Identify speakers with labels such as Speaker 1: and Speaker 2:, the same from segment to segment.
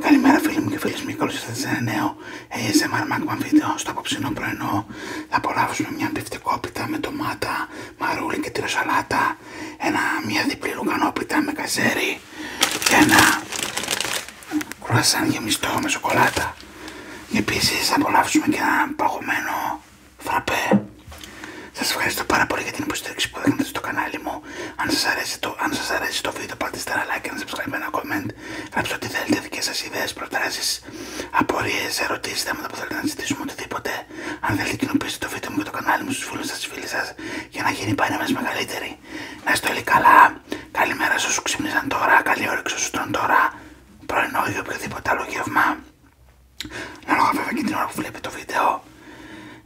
Speaker 1: Καλημέρα φίλοι μου και φίλες μου, καλώς ήρθατε σε ένα νέο ASMR βίντεο. Στο απόψινό πρωινό θα απολαύσουμε μια πιφτικόπιτα με ντομάτα, μαρούλι και τυροσαλάτα, ένα, μια διπλή λουκανόπιτα με καζέρι και ένα κουρασάν γεμιστό με σοκολάτα. Επίση θα απολαύσουμε και ένα παγωμένο φραπέ. Σας ευχαριστώ πάρα πολύ για την υποστήριξη που έχετε στο κανάλι μου. Αν σας αρέσει το, αν σας το βίντεο πατήστε ένα like, ένα subscribe, ένα comment. Γράψτε ό,τι θέλετε, δικές σας ιδέες, προτάσεις, απορίες, ερωτήσεις, θέματα που θέλετε να ζητήσουμε, οτιδήποτε. Αν θέλετε κοινοποιήστε το βίντεο μου και το κανάλι μου στους φίλους σας, στις φίλες σας, για να γίνει πάνω μας μεγαλύτερη. Να είστε όλοι καλά. Καλημέρα σε όσους ξυπνήσαν τώρα, καλή όρεξη όσους τρώνε τώρα, πρωινό ή οποιοδήποτε άλλο γεύμα. Ανάλογα βέβαια και την ώρα που βλέπετε το βίντεο,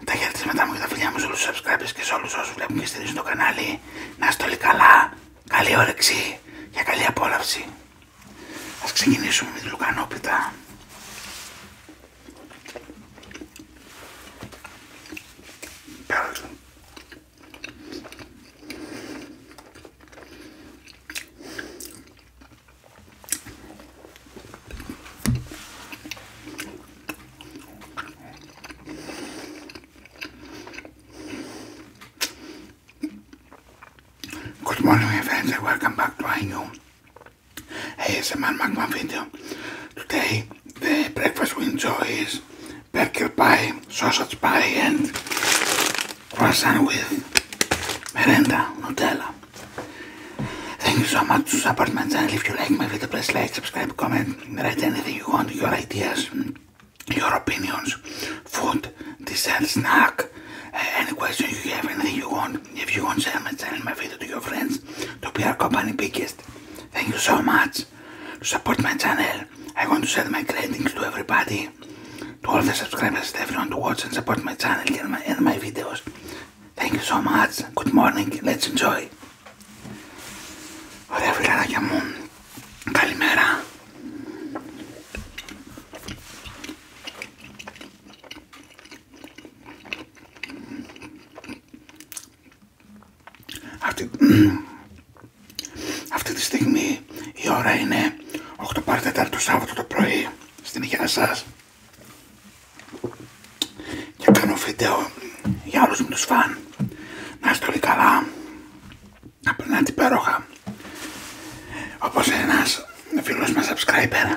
Speaker 1: τα μετά μου και τα φιλιά μου σε όλους τους subscribers και σε όλους όσους βλέπουν και στηρίζουν το κανάλι. Να είστε όλοι καλά, καλή όρεξη και καλή απόλαυση. Ας ξεκινήσουμε με τη λουκανόπιτα. Good morning my friends and welcome back to It's a man ASMR one video. Today the breakfast we enjoy is burger pie, sausage pie and croissant with merenda, Nutella. Thank you so much to support my channel. If you like my video, please like, subscribe, comment, write anything you want, your ideas, your opinions, food, dessert, snack, any questions you have, anything you want. If you want, to share my channel, my video to your friends, to be our company biggest. Thank you so much to support my channel. I want to send my greetings to everybody, to all the subscribers, to everyone to watch and support my channel and my, and my videos. Thank you so much. Good morning. Let's enjoy. Ωραία φιλαράκια μου. Καλημέρα. Αυτή, αυτή τη στιγμή η ώρα είναι 8 το Σάββατο το πρωί στην υγεία σας και κάνω βίντεο για όλους μου τους φαν να είστε όλοι καλά να περνάτε υπέροχα όπως ένας φίλος μας subscriber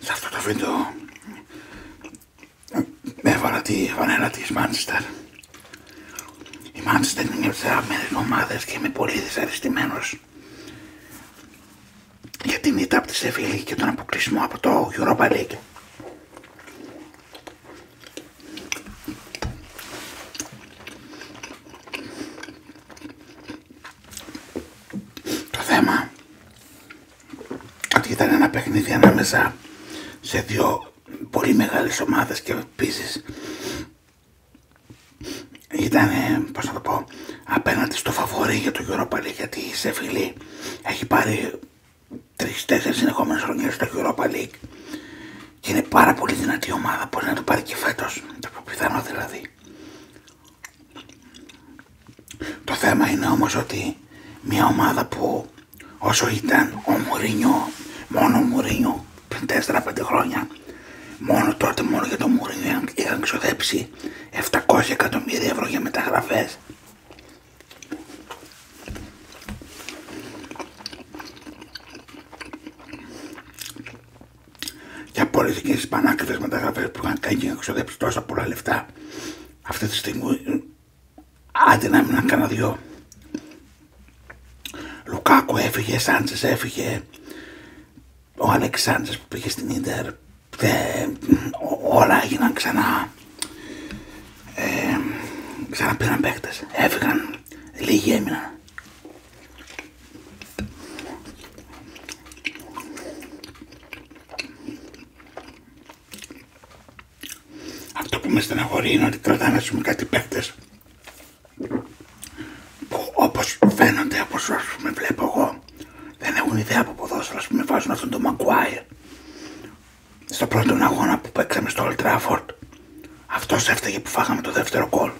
Speaker 1: σε αυτό το βίντεο ε, έβαλα τη βανέλα της Μάντσεστερ η Μάντσεστερ είναι μια από τις και είμαι πολύ δυσαρεστημένος για την ήττα από τη και τον αποκλεισμό από το Europa Το θέμα ότι ήταν ένα παιχνίδι ανάμεσα σε δύο πολύ μεγάλες ομάδες και επίση ήταν, πώς να το πω, απέναντι στο φαβορή για το Europa League, γιατί η Σεφιλή έχει πάρει τρεις-τέσσερις συνεχόμενες χρονιές στο Europa League και είναι πάρα πολύ δυνατή ομάδα, μπορεί να το πάρει και φέτος, το πιθανό δηλαδή. Το θέμα είναι όμως ότι μια ομάδα που όσο ήταν ο Μουρίνιο, μόνο ο Μουρίνιο, 4-5 χρόνια, μόνο τότε μόνο για το Μουρίνιο είχαν ξοδέψει 700 εκατομμύρια ευρώ για μεταγραφές για όλε εκείνε τι πανάκριβε μεταγραφέ που είχαν κάνει και ξοδέψει τόσα πολλά λεφτά, αυτή τη στιγμή άντε να έμειναν κάνα δυο. Λουκάκο έφυγε, Σάντσε έφυγε, ο Αλέξ που πήγε στην ντερ, όλα έγιναν ξανά. Ε, ξαναπήραν παίκτε, έφυγαν, λίγοι έμειναν. Αυτό που με στεναχωρεί είναι ότι κρατάνε ας κάτι παίκτες που όπως φαίνονται, όπως βλέπω εγώ δεν έχουν ιδέα από ποδόσφαιρα, που με βάζουν αυτόν τον Maguire στο πρώτο αγώνα που παίξαμε στο Old Trafford αυτός έφταγε που φάγαμε το δεύτερο κόλ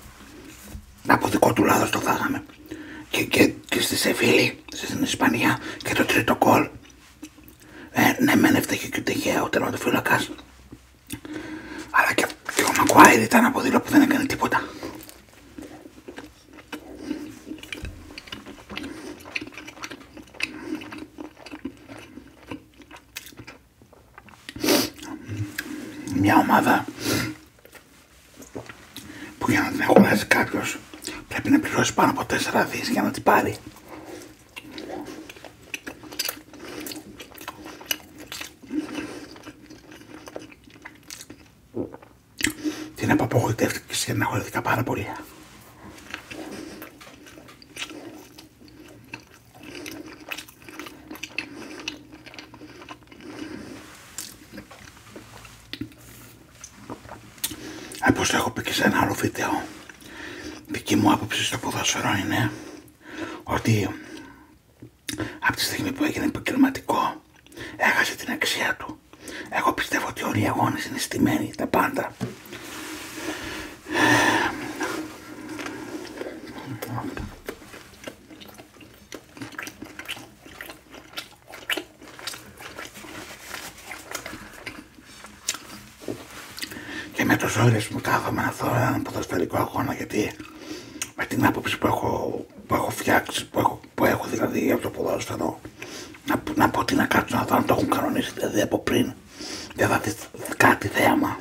Speaker 1: από δικό του λάδος το φάγαμε. Και, και, στη Σεφίλη στην Ισπανία και το τρίτο κόλ. Ε, ναι, με έφταγε και ο Τεγέα, ο φύλακας Αλλά και, και ο Μακουάιρ ήταν από που δεν έκανε τίποτα. Μια ομάδα που για να την αγοράσει κάποιο πρέπει να πληρώσει πάνω από 4 δις για να την πάρει. Την απογοητεύτηκε και αγχωρήθηκα πάρα πολύ. Όπως ε, έχω πει και σε ένα άλλο βίντεο, δική μου άποψη στο ποδόσφαιρο είναι ότι από τη στιγμή που έγινε επαγγελματικό έχασε την αξία του. Εγώ πιστεύω ότι όλοι οι αγώνες είναι στημένοι, τα πάντα. Και με τους όρες μου κάθομαι να δω έναν ποδοσφαιρικό αγώνα γιατί με την άποψη που έχω, που έχω φτιάξει, που έχω, που έχω δηλαδή από το ποδόσφαιρο να, να πω τι να κάτσω να δω αν το έχουν κανονίσει δηλαδή από πριν δεν θα δεις κάτι θέαμα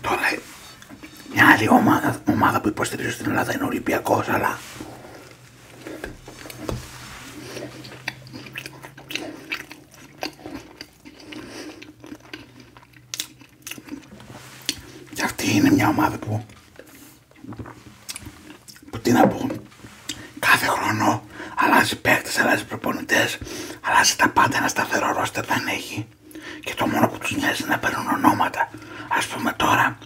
Speaker 1: Τώρα ε, μια άλλη ομάδα, ομάδα που υποστηρίζω στην Ελλάδα είναι ο αλλά και αυτή είναι μια ομάδα που που τι να πω κάθε χρόνο αλλάζει παίκτες, αλλάζει προπονητές αλλάζει τα πάντα ένα σταθερό ρόστερ δεν έχει και το μόνο που τους νοιάζει είναι να παίρνουν ονόματα. Ας πούμε τώρα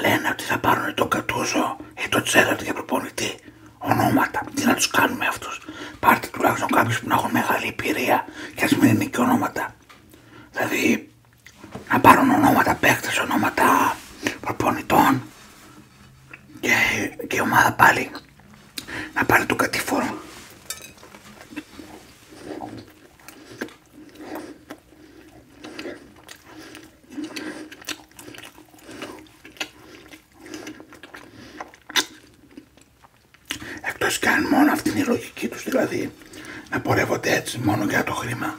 Speaker 1: λένε ότι θα πάρουν τον Κατούζο ή το Τσέραρντ για προπονητή. Ονόματα. Τι να τους κάνουμε αυτούς. Πάρτε τουλάχιστον κάποιους που να έχουν μεγάλη εμπειρία και ας μην είναι και ονόματα. Δηλαδή να πάρουν ονόματα παίκτες, ονόματα προπονητών και, και ομάδα πάλι να πάρει το κατηφόρο. Εκτός και αν μόνο αυτή είναι η λογική τους δηλαδή να πορεύονται έτσι μόνο για το χρήμα.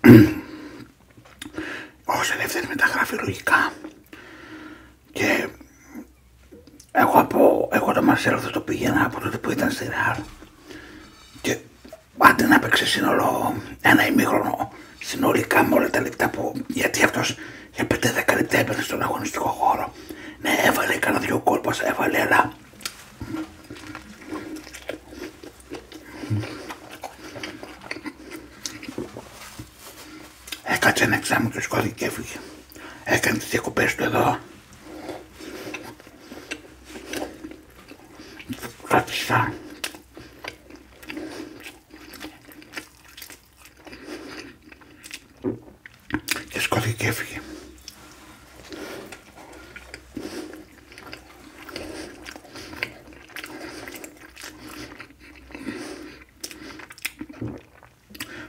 Speaker 1: Όσο ελεύθερη μεταγράφει λογικά και εγώ, από, εγώ το Μαρσέλο θα το πήγαινα από τότε που ήταν στη Ρεάλ και άντε να παίξει σύνολο ένα ημίχρονο συνολικά με όλα τα λεπτά που γιατί αυτός για πέντε 10 λεπτά έπαιρνε στον αγωνιστικό χώρο ναι έβαλε κανένα δυο κόλπος έβαλε αλλά Έκατσε ένα εξάμεινο και σκότει και έφυγε. Έκανε τις διακοπές του εδώ. Κράτησα. Και σκότει και έφυγε.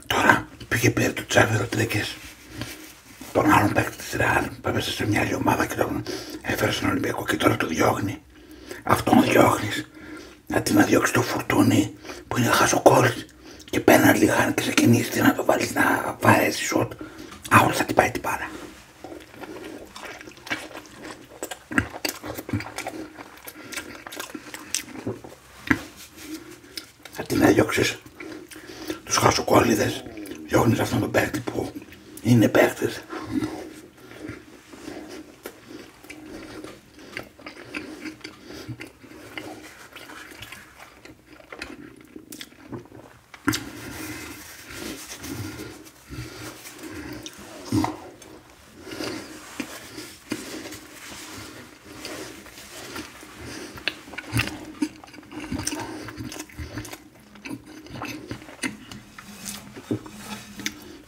Speaker 1: Τώρα πήγε πήρε το Τσάβη Ροντρίγκες τον άλλον παίκτη της Ρεάλ που έπεσε σε μια άλλη ομάδα και τον έφερε στον Ολυμπιακό και τώρα του διώχνει. Αυτόν διώχνεις. Αντί να διώξει το φουρτούνι που είναι χαζοκόρης και πέναν λιγάνι και ξεκινήσει να το βάλει να βάλει σωτ. Άρα θα την πάει την πάρα. Θα την έδιωξες τους χασοκόλληδες, διώχνεις αυτόν τον παίκτη που είναι παίκτης.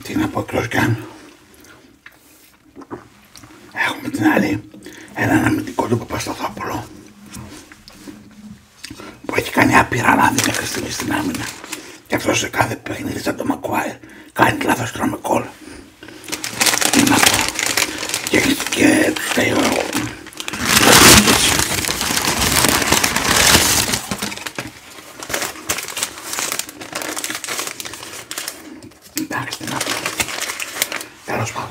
Speaker 1: Τι να πω εκτός έχουμε την άλλη ένα αναμυντικό του Παπασταθόπουλο που έχει κάνει άπειρα λάθη μέχρι στιγμή στην άμυνα. Και αυτό σε κάθε παιχνίδι σαν το Μακουάιρ κάνει λάθο τρομεκόλ. Είναι αυτό. Και, και τελειώνω. Εντάξει, να πω. Τέλος πάντων.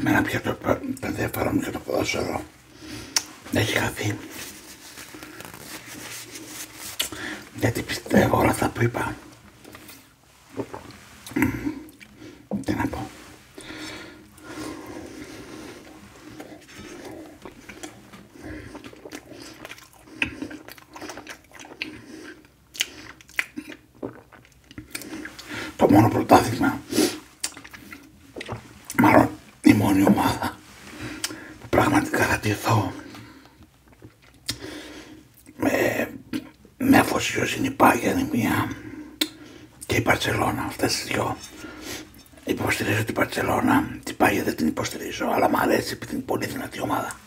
Speaker 1: Εμένα πια το, το ενδιαφέρον για το ποδόσφαιρο έχει χαθεί γιατί πιστεύω όλα αυτά που είπα τι να πω το μόνο πρωτάθλημα μάλλον η μόνη ομάδα που πραγματικά θα με, με είναι η Πάγια και η Παρτσελώνα, αυτές τις δυο. Υποστηρίζω την Παρτσελώνα, την Πάγια δεν την υποστηρίζω, αλλά μου αρέσει επειδή είναι πολύ δυνατή ομάδα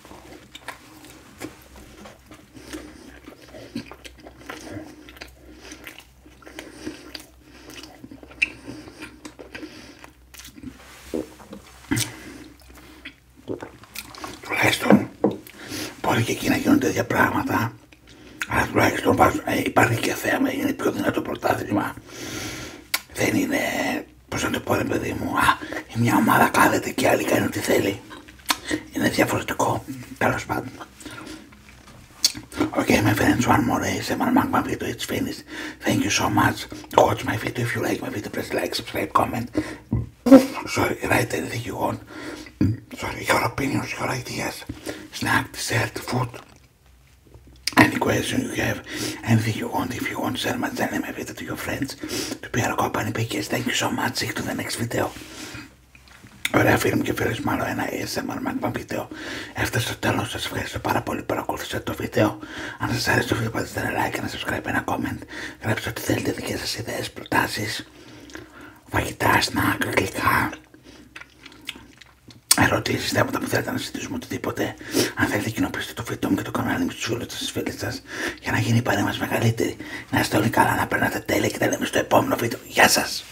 Speaker 1: τουλάχιστον μπορεί και εκεί να γίνονται τέτοια πράγματα αλλά τουλάχιστον ε, υπάρχει και θέμα είναι πιο δυνατό πρωτάθλημα δεν είναι πως να το πω ρε παιδί μου α, μια ομάδα κάθεται και άλλη κάνει ό,τι θέλει είναι διαφορετικό τέλο πάντων Οκ my friends, one more ε, σε Seven Magma το it's finished. Thank you so much. Watch my video if you like my video. Press like, subscribe, comment. Sorry, write anything you want. Sorry, your opinions, your ideas. Snack, dessert, food. Any question you have, anything you want, if you want, share my channel, my video to your friends, to be our company pages. Thank you so much. See you to the next video. Ωραία φίλοι μου και φίλες μου ένα ASMR Magma βίντεο Έφτασε στο τέλο. Σα ευχαριστώ πάρα πολύ που παρακολουθήσατε το βίντεο. Αν σα άρεσε το βίντεο, πατήστε ένα like, ένα subscribe, ένα comment. Γράψτε ό,τι θέλετε, δικέ σα ιδέε, προτάσει, φαγητά, σνακ, γλυκά. Ερωτήσει, θέματα που θέλετε να συζητήσουμε, οτιδήποτε. Αν θέλετε, κοινοποιήστε το βίντεο μου και το κανάλι μου της όλου σα φίλε σας, για να γίνει η παρέα μεγαλύτερη. Να είστε όλοι καλά, να περνάτε τέλεια και τα λέμε στο επόμενο βίντεο. Γεια σα!